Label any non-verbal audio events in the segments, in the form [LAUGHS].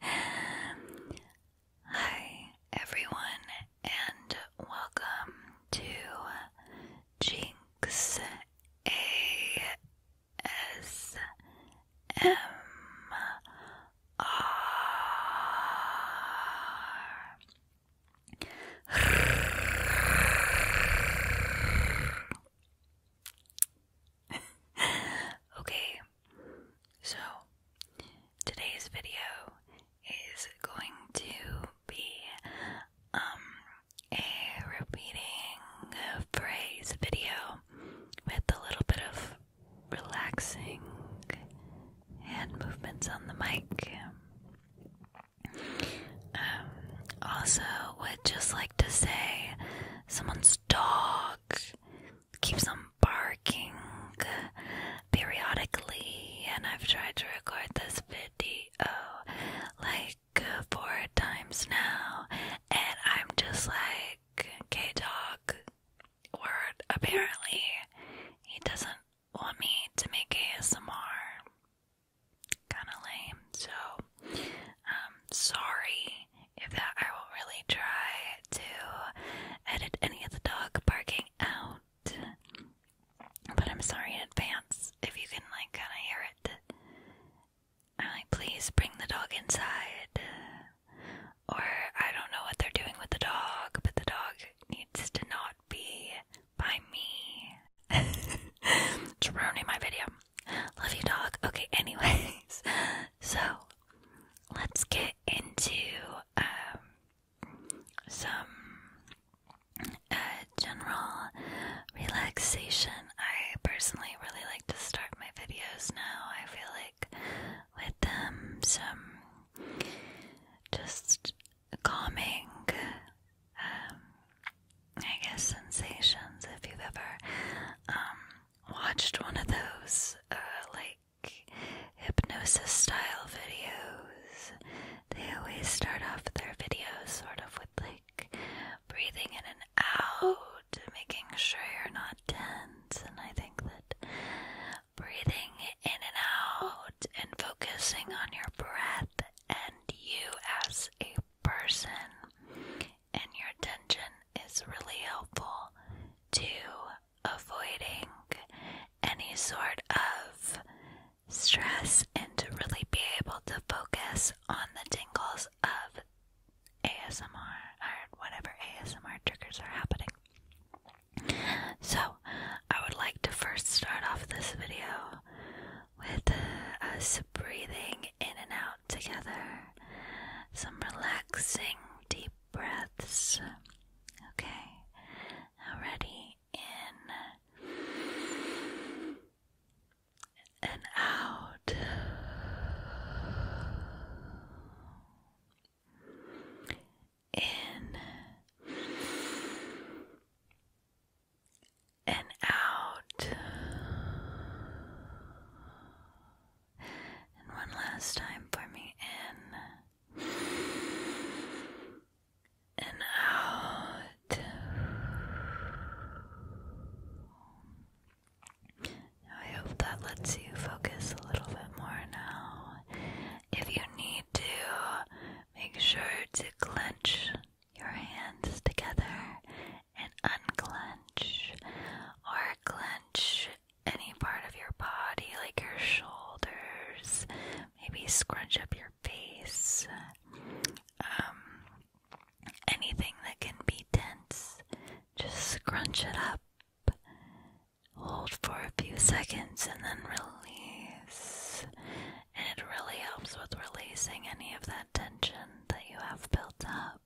Hi, everyone, and welcome to Jinx ASMR. [LAUGHS] okay, so today's video is going to be um, a repeating phrase video with a little bit of relaxing hand movements on the mic. Um, also, would just like to say someone's dog keeps on barking periodically, and I've tried to record this video like four times now, and I'm just like, okay, dog, word, apparently, he doesn't want me to make ASMR kind of lame. So, um, sorry if that I will really try to edit any of the dog barking out. But I'm sorry in advance if you can like kind of hear it. i please bring the dog inside. Or I don't know what they're doing with the dog, but the dog needs to not be by me. it's [LAUGHS] ruining my video. Love you, dog. Okay, anyways, [LAUGHS] so let's get into um, some uh, general relaxation. I personally really like to start my videos now. I feel like with them, some just calming, um, I guess, sensations. If you've ever um, watched one of those, uh, like hypnosis style videos, they always start off their videos sort of with like breathing in and out, making sure you're not tense. And I think that breathing in and out and focusing on your breath and you as a person, and your attention is really helpful to avoiding any sort of stress and to really be able to focus on the tingles of ASMR or whatever ASMR triggers are happening. So, I would like to first start off this video with uh, us breathing in and out together. Some relaxing deep breaths. Okay, now ready in and out in and out. And one last time for me in and out. I hope that lets you focus a little bit more now if you need to, make sure to clench your hands together and unclench or clench any part of your body, like your shoulders, maybe scrunch up your face, um, anything that can be tense, just scrunch it up Hold for a few seconds and then release. And it really helps with releasing any of that tension that you have built up.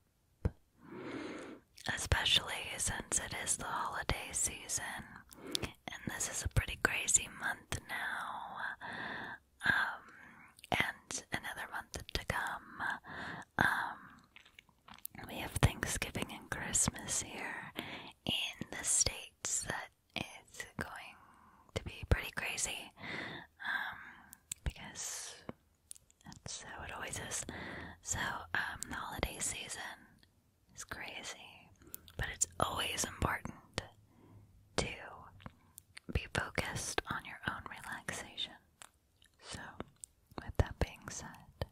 Especially since it is the holiday season, and this is a pretty crazy month now, um, and another month to come. Um, we have Thanksgiving and Christmas here in the states that it's going to be pretty crazy um, because that's how it always is. So, um, the holiday season is crazy, but it's always important to be focused on your own relaxation. So, with that being said,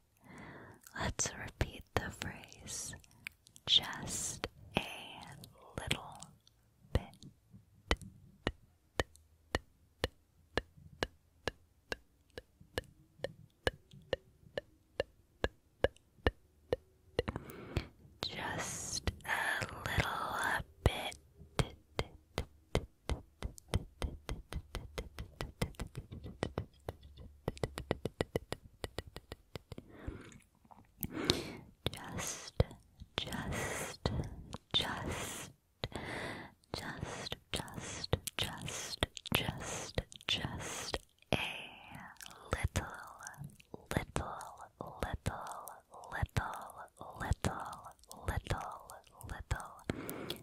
Let's repeat the phrase just a little bit. Just a little bit. Just, just, just, just, just, just, just, just a little, little, little, little, little, little, little bit,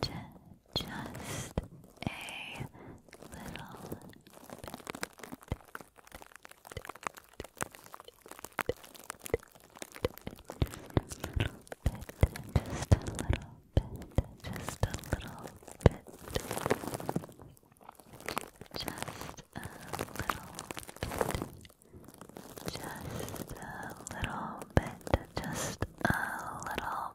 J just a little bit. Just a little bit, just a little bit, just a little bit, just a little bit, just a little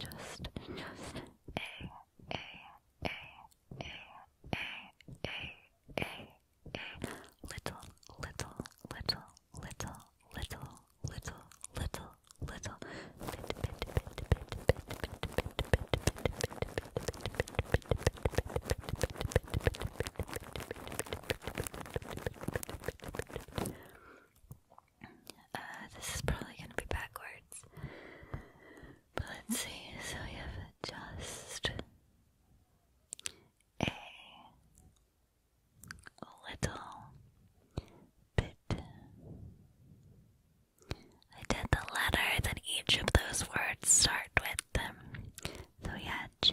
just, just a, a, a, a, a, a, a, a, little, little, little, little, little, little, little, little, bit, bit, bit, bit, bit, bit, bit, uh, this is probably going to be backwards. But let's see. So we have just a little bit. I did the letter that each of those words start with them. Um, so we had J,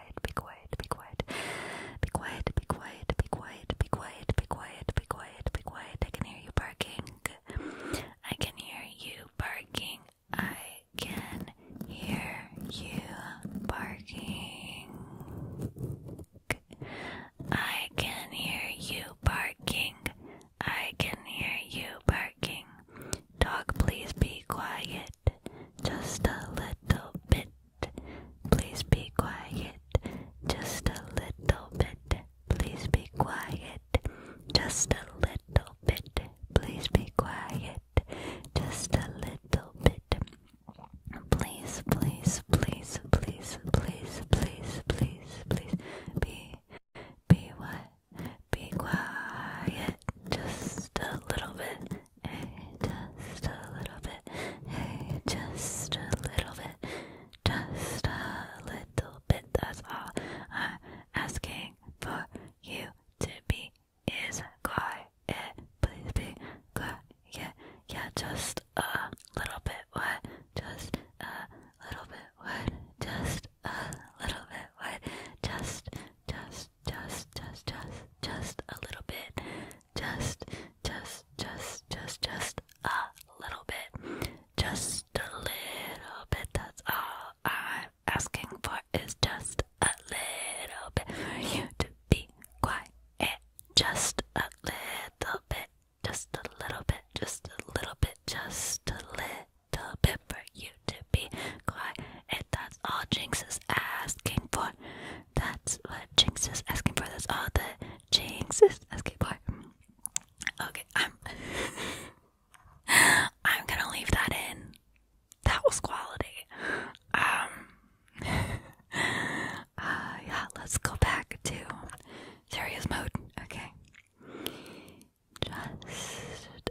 quiet, be quiet, be quiet. Be quiet, be quiet, be quiet, be quiet, be quiet, be quiet, be quiet. I can hear you barking. I can hear you barking. I can hear you barking. I can hear you barking. I can hear you barking. Dog, please be quiet it, just a little bit. Please be quiet, just a little bit. Please be quiet, just a little bit. Please be quiet, just a little bit. Please, please, please, please, please, please, please, please, be, be what? Be quiet, just a little bit. Hey, just a little bit. Hey, just a little bit. Just a little bit. That's all I'm asking for you to be is quiet. Please be quiet. Yeah, yeah, just a little bit. What? Just a little bit. What? Just a little bit. What? Just, just just, just, just, just, just a little bit. Just, just, just, just, just a little bit. Just a little bit. That's all I'm asking for is just a little bit for you to be quiet. Just a little bit. Just a little bit. Just a little bit. Just a little bit for you to be quiet. That's all Jinx is asking for that's what Jinx is asking for. That's all the Jinx is asking for. Okay, I'm [LAUGHS] I'm gonna leave that in. That was quality. Um [LAUGHS] uh, yeah, let's go back to serious mode. Okay. Just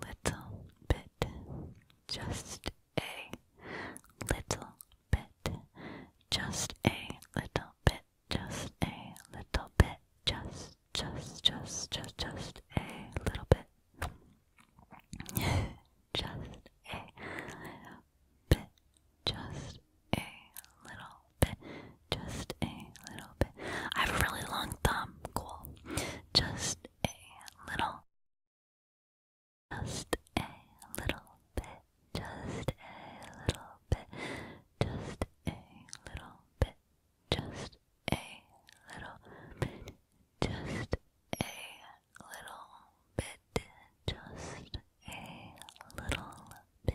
little bit, just a little bit, just a little bit, just a little bit, just, just, just, just, just a little bit, [LAUGHS] just a little bit, just a little just a little bit. I have a really long thumb, cool. Just a little, just a little bit, just a little bit, just a little bit, just a little bit, just a little bit, just a little bit.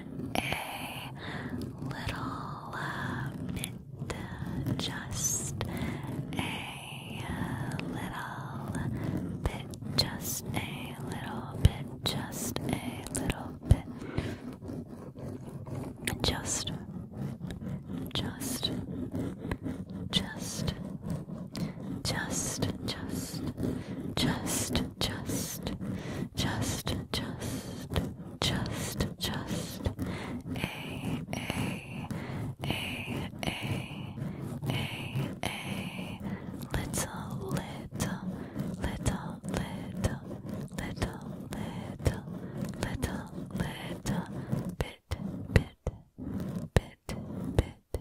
a little bit, just a little bit, just a little bit, just a little bit, just, just, just, just, just, just, just, just, just, just, just a, a, a, a, a, a little, little, little, little, little, little, little, little bit, bit, bit, bit.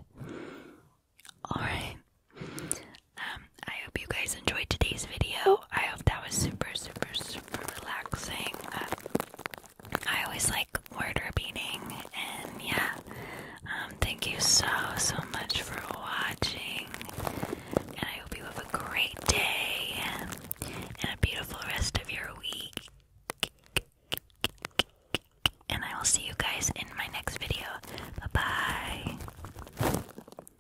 All right. Um, I hope you guys enjoyed today's video. I hope that was super, super, super relaxing. Um, I always like word repeating, and yeah, um, thank you so, so much for watching. And I hope you have a great day and a beautiful rest of your week. And I will see you guys in my next video. Bye bye.